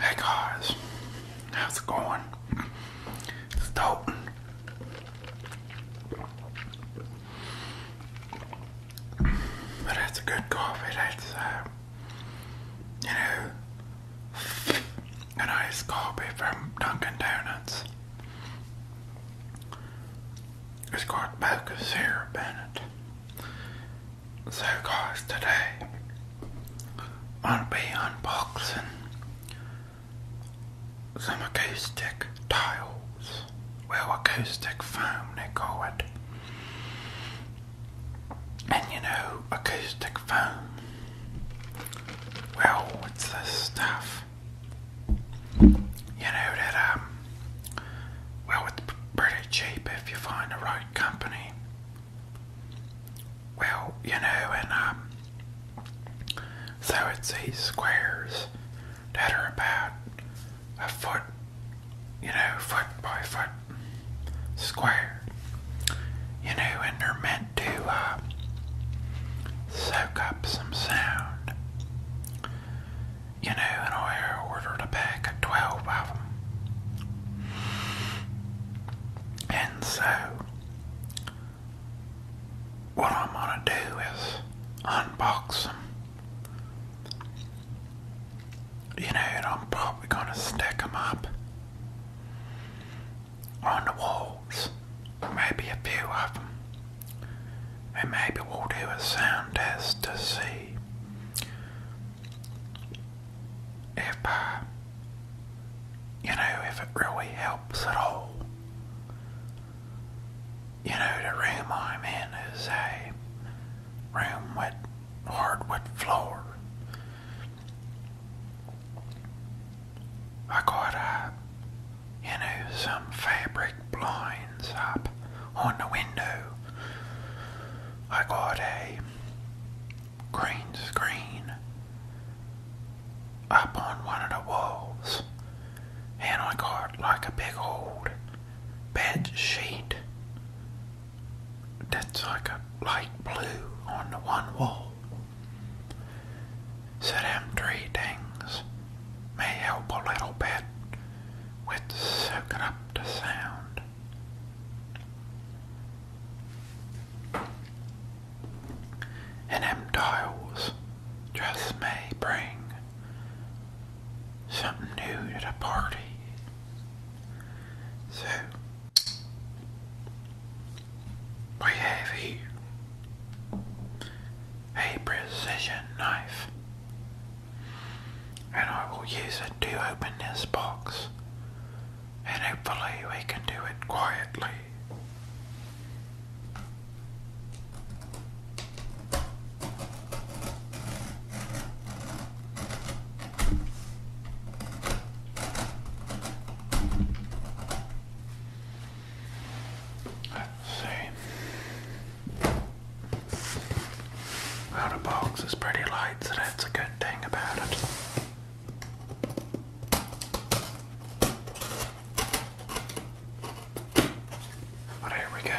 Hey guys, how's it going? It's dope. But that's good coffee, that's, uh, you know, a nice coffee from Dunkin' Donuts. It's got mocha syrup in it. So guys, today I'll be unboxing some acoustic tiles. Well, acoustic foam they call it. And you know, acoustic foam. Well, it's this stuff. You know that um well, it's pretty cheap if you find the right company. Well, you know, and um, so it's these squares that are about a foot, you know, foot by foot square, you know, and they're meant to uh, soak up some sound you know, and I ordered a pack of 12 of them. And so, what I'm going to do is unbox them. You know, and I'm probably going to stick them up on the walls. Maybe a few of them and maybe we'll do a sound test to see if, uh, you know, if it really helps at all. You know, the room I'm in is a room with hardwood floor. I got a you know, some fabric blinds up on the window. I got a green screen up on one of the walls, and I got like a big old bed sheet that's like a light blue on the one wall. So, them three things may help a little bit with soaking up the sound. And them dials just may bring something new to the party. So, we have here a precision knife and I will use it to open this box and hopefully we can do it quietly. Let's see. Well, box is pretty light, so that's a good thing about it. But here we go.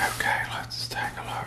Okay, let's take a look.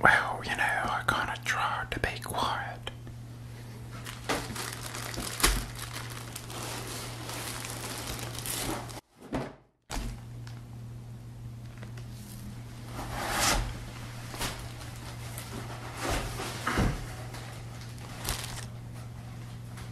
Well, you know, I kind of tried to be quiet.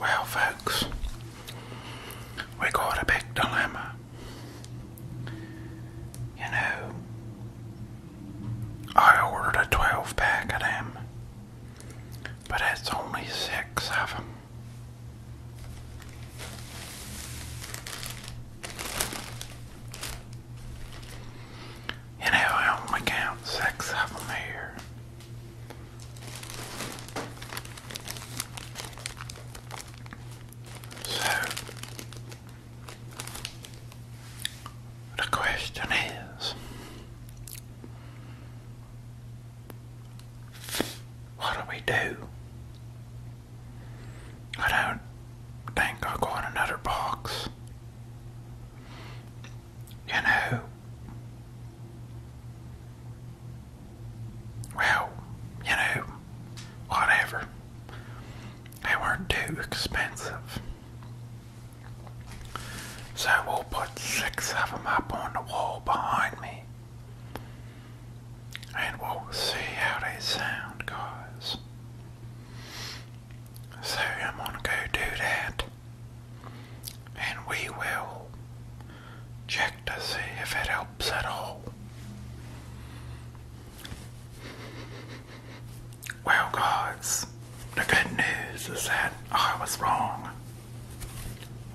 Well, folks, we got a big dilemma. You know, I ordered a 12 pack of them, but it's only six of them. You know, I only count six of them here. So, the question is what do we do? I don't think I'll another box. You know. Well, you know, whatever. They weren't too expensive. So we'll put six of them up on the wall behind me. And we'll see how they sound, guys. So I'm going to go do that. And we will check to see if it helps at all. Well, guys, the good news is that I was wrong.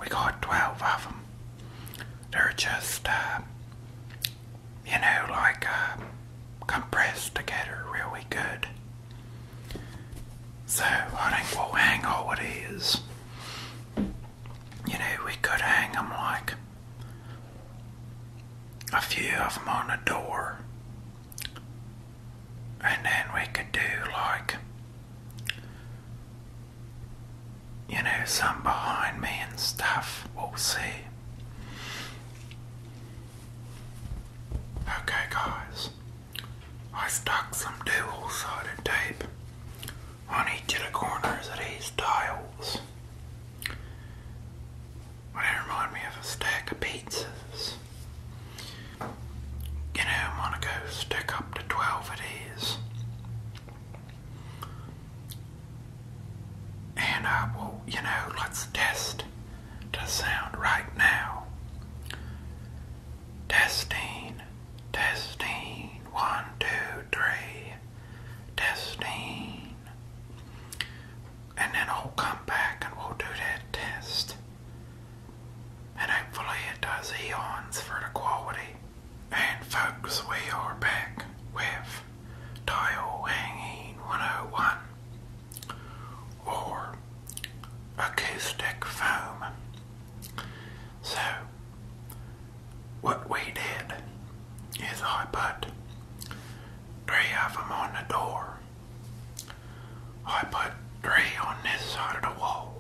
We got 12 of them. They're just, uh, you know, like uh, compressed together really good. So I think we'll hang all it is. You know, we could hang them like a few of them on the door, and then we could do like you know, some behind me and stuff. We'll see. Okay, guys, I stuck some dual sided tape on each of the corners of these tiles. they remind me of a stack of pizzas. You know, I'm gonna go stick up to 12 of these. And I will, you know, let's test the sound right now. Testing, testing, one, two, three testing. And then I'll come back and we'll do that test. And hopefully it does eons for the quality. And folks, we are back with Tile Hanging 101 or Acoustic Foam. So, what we did is I put three of on the door. I put three on this side of the wall.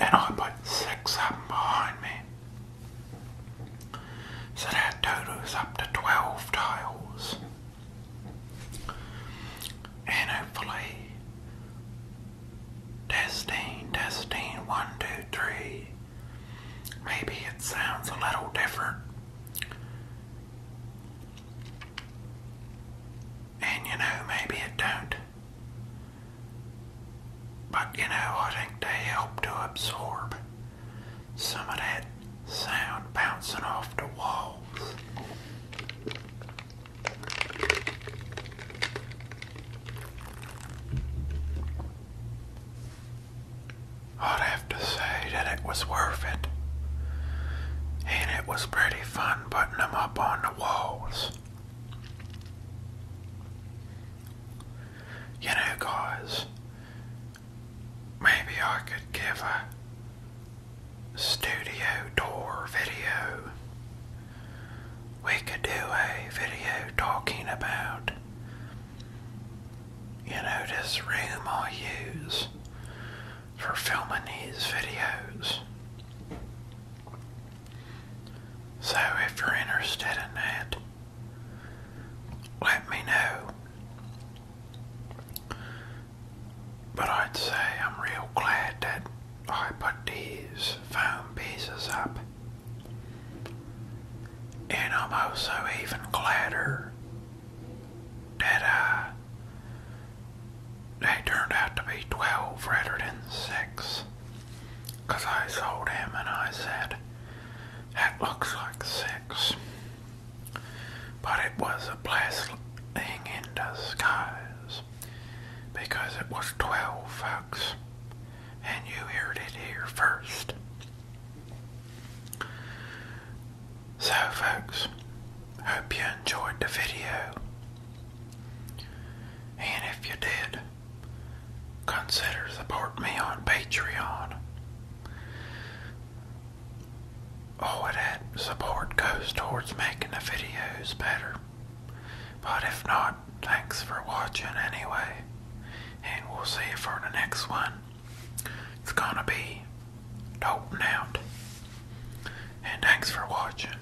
And I put six up behind me. So that totals up to 12 tiles. And hopefully Testing, testing, one, two, three. Maybe it sounds a little different. And you know, maybe it don't. But you know, I think they help to absorb some of that sound bouncing off the walls. I'd have to say that it was worth it. And it was pretty fun putting them up on the walls. You know, guys, maybe I could give a studio door video. We could do a video talking about, you know, this room I use for filming these videos. So if you're interested in that, let me know. But I'd say I'm real glad that I put these foam pieces up. And I'm also even gladder that uh, they turned out to be 12 rather than 6. Because I sold him and I said, that looks like 6. But it was as in disguise because it was 12 folks and you heard it here first. So folks, hope you enjoyed the video and if you did, consider support me on Patreon all of that support goes towards making the videos better. But if not, thanks for watching anyway. And we'll see you for the next one. It's gonna be doping out. And thanks for watching.